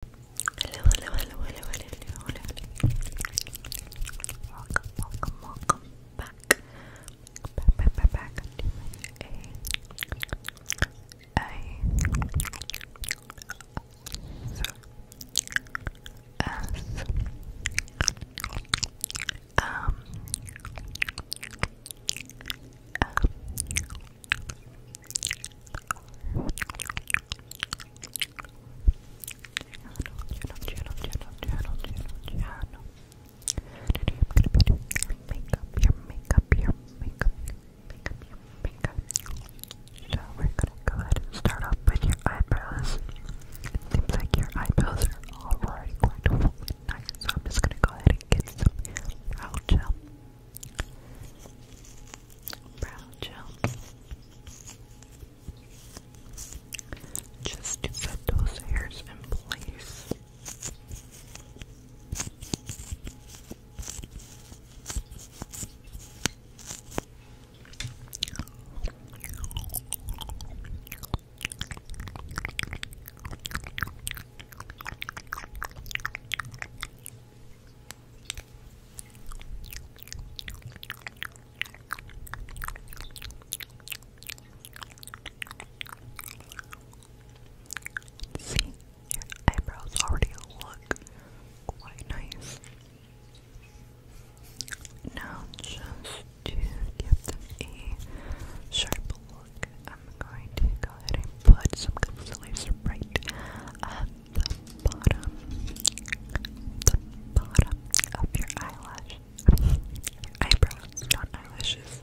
Hello, hello, Welcome, welcome, welcome back. Back, channel, channel, channel, channel, channel. Today I'm gonna be doing makeup, your makeup, your makeup, makeup, your makeup. So we're gonna go ahead and start off with your eyebrows. seems like your eyebrows are already quite nice, so I'm just gonna go ahead and get some brow brow gel just to set those hairs in place. See, your eyebrows already look quite nice. Now, just to give them a sharp look, I'm going to go ahead and put some concealer right the bottom, the bottom of your eyelash, your not eyelashes.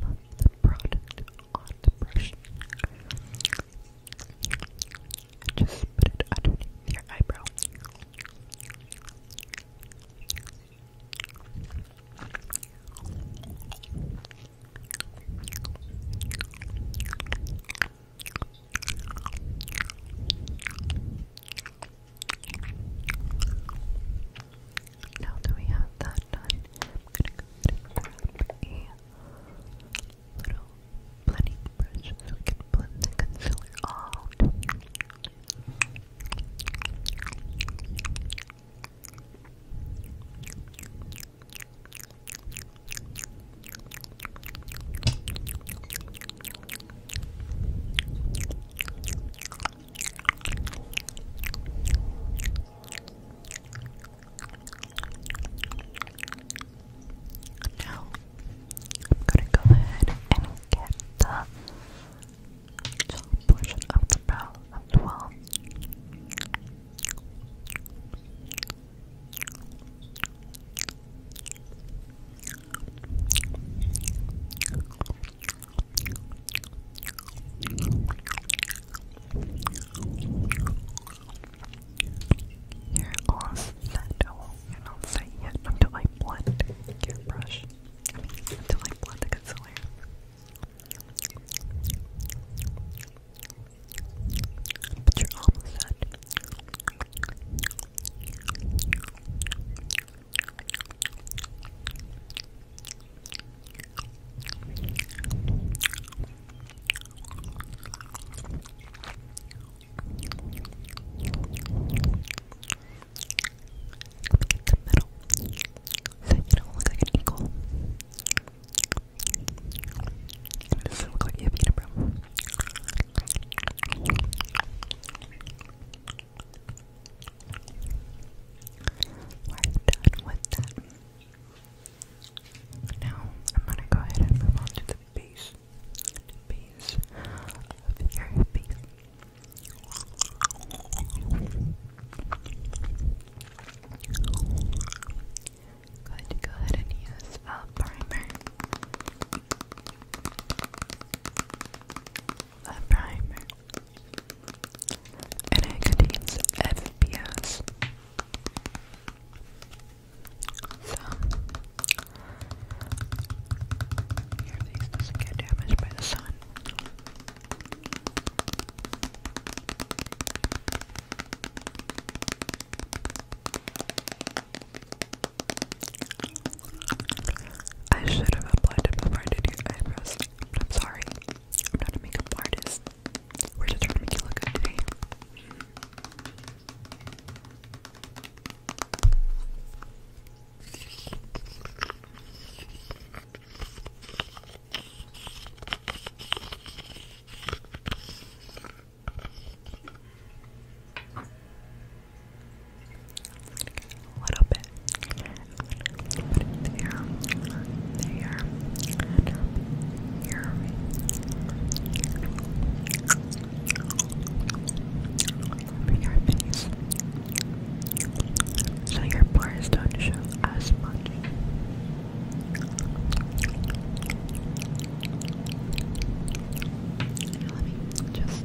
some of the product just put it underneath your eyebrow. Now that we have that done, I'm gonna grab a little blending brush so blend the concealer out. Now, I'm gonna go ahead and get the top portion of the brow as well. You're all set. Oh, you're not set yet until I blend your brush. I mean, until I blend the concealer. But you're almost set. Get the middle so you don't look like an eagle. It doesn't look like you have unibrow. We're done with that. Now I'm gonna go ahead and move on to the base. The base of go ahead and use a primer a primer, and it contains FPS. So, your face does get damaged by the sun. I should have applied it before I did your eyebrows, but I'm sorry. I'm not a makeup artist. We're just trying to make you look good a little bit. there, there, and up here. Over your So your pores don't show as much. Let me just.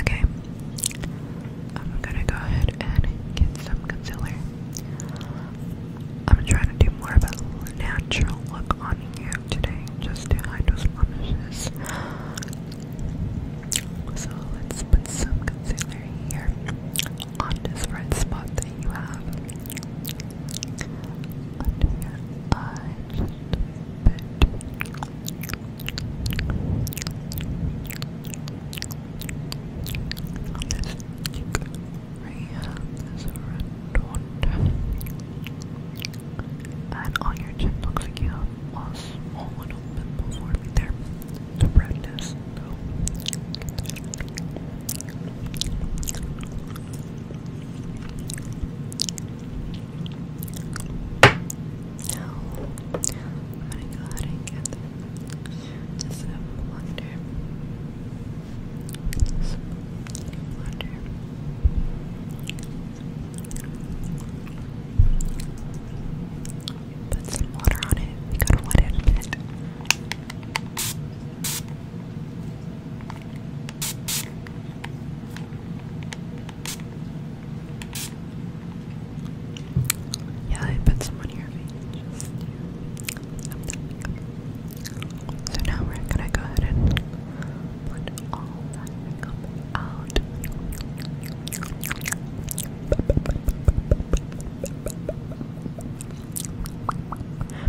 Okay, I'm gonna go ahead and get some concealer. I'm trying to do more of a natural look on you today, just to hide those blemishes. So let's put some concealer here on this red spot that you have under your eye right And on your chin, looks like you have a small little pimple forming there. The redness, now, I'm gonna go ahead and get this a blender. This Put some water on it. We gotta wet it a bit. Yeah, I put some on your face. So now we're gonna go ahead and put all that out.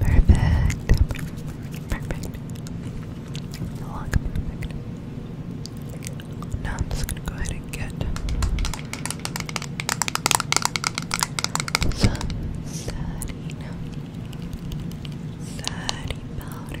Perfect. Perfect. Now I'm just gonna go ahead and get some study study powder.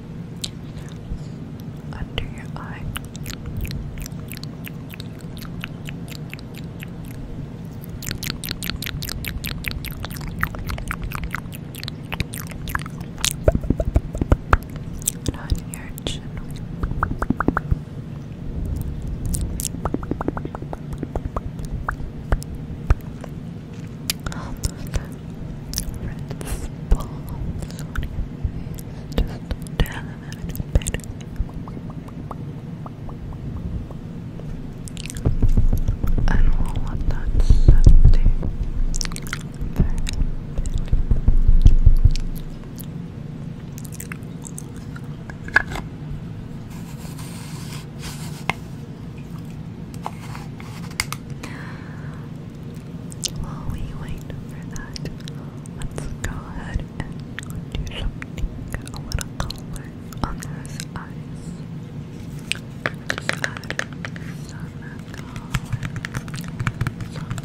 under your eye. on your chin. Red's balls on your face, just down a bit. I don't know what while we wait for that, let's go ahead and do something a little color on those eyes. let add some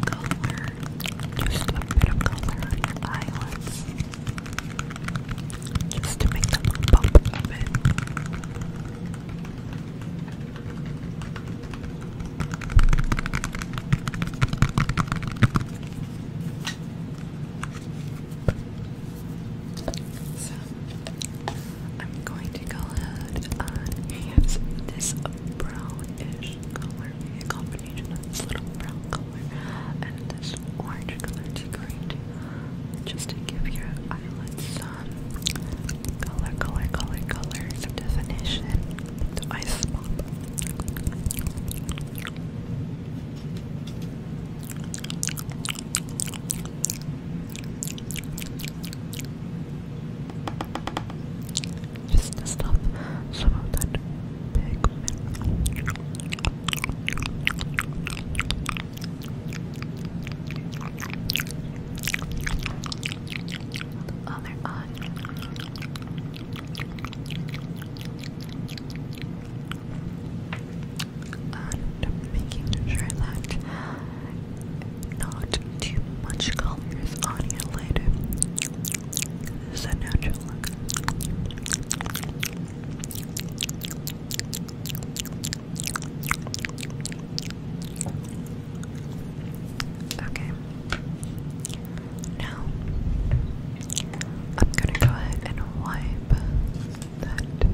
color, some color, just a bit of color on your eyelids, just to make them pop a bit. So I'm going to go ahead and use this brownish color, a combination of this little brown color and this orange color to create just to give your eyelids color, color, color, color, definition, ice pop. Just to stop some of that the other And making sure that not too much color is on here later. This a natural look. Okay. Now, I'm going to go ahead and wipe that setting off.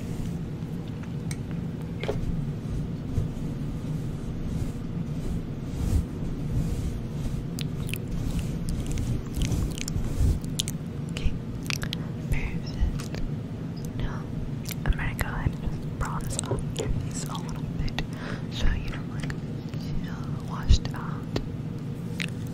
Okay, versus. No, I'm gonna go ahead and bronze up your a little bit so you don't like washed out.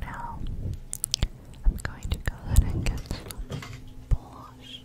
Now I'm going to go ahead and get some blush.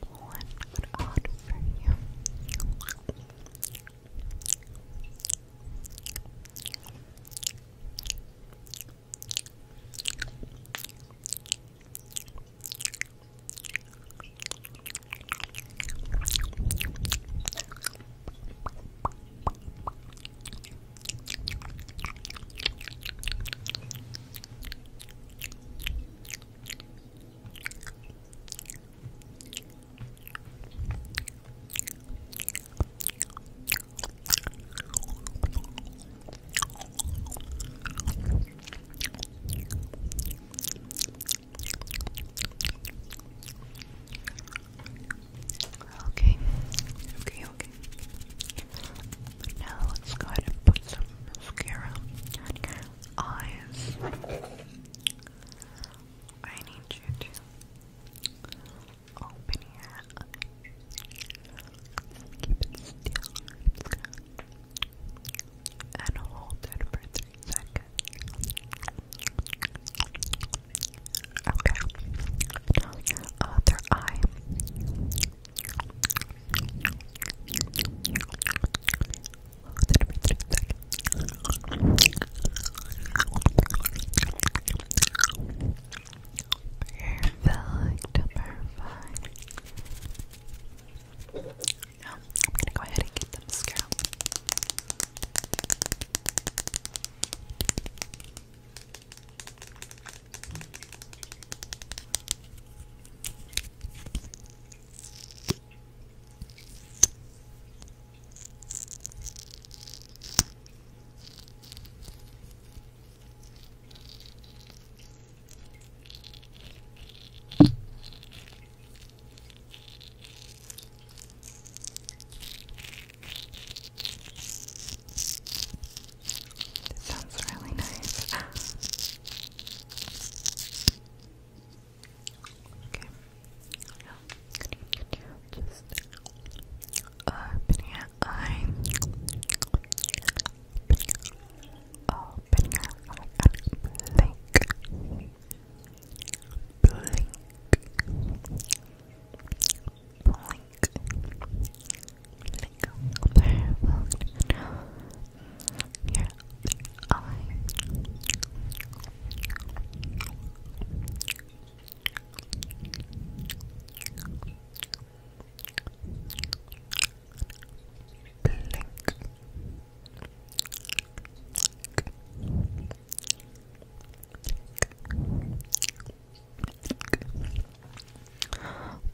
one good odd for you. Okay, okay, okay. Now let's go ahead put some mascara eyes. I need you to open your eyes. Keep still. And hold it for three seconds. Okay. other eye. Perfect, perfect. I'm gonna go ahead and get the mascara. This sounds really nice. Okay. Now, open your eye. Open your eye blink. Blink. Blink. Blink your eye. Blink.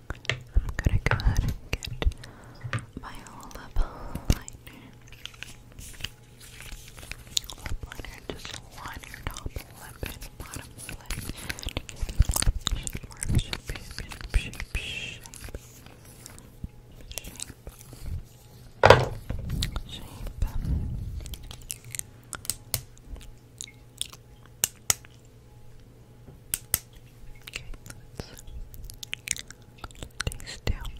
I'm gonna go ahead and get my lip liner. liner, just line your top lip and bottom lip. Shape, shape, shape, shape, shape. Shape. Shape. Okay, let taste down.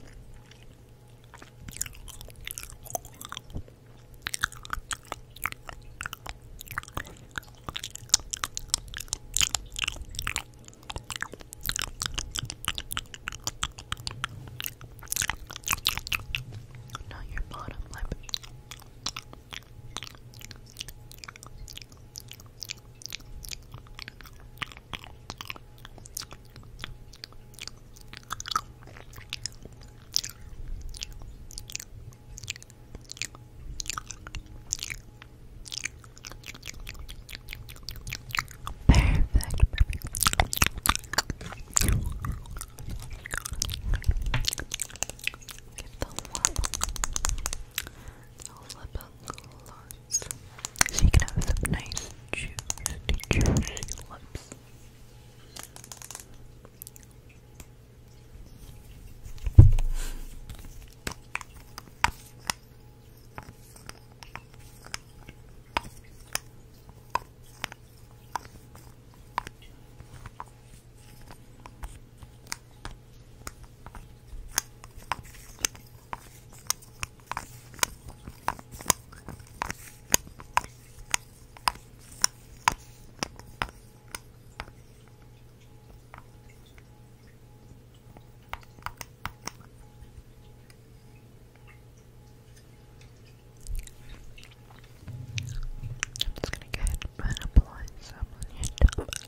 Not your bottom lip. Perfect. Give the love i so you can have some nice juicy, juicy lips. I'm just gonna go and apply some on your top.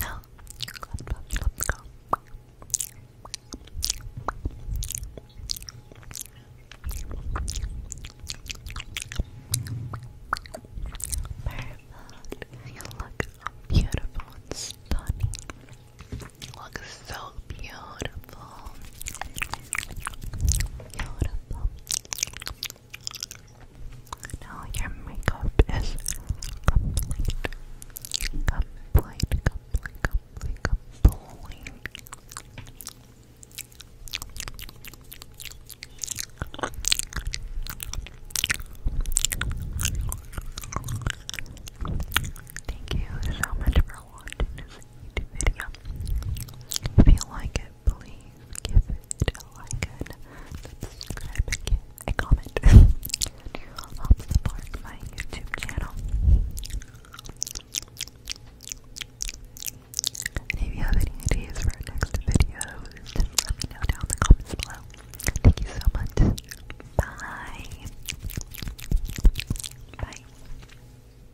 No. You look beautiful and stunning. You look so beautiful. Beautiful. Now your makeup is complete. Complete, complete, complete, complete. Thank you so much for watching this YouTube video. If you like it, please give it a like subscribe and comment. it helps support my YouTube channel. And if you have any ideas for next videos, know down in the comments below. Thank you so much. Bye. Bye.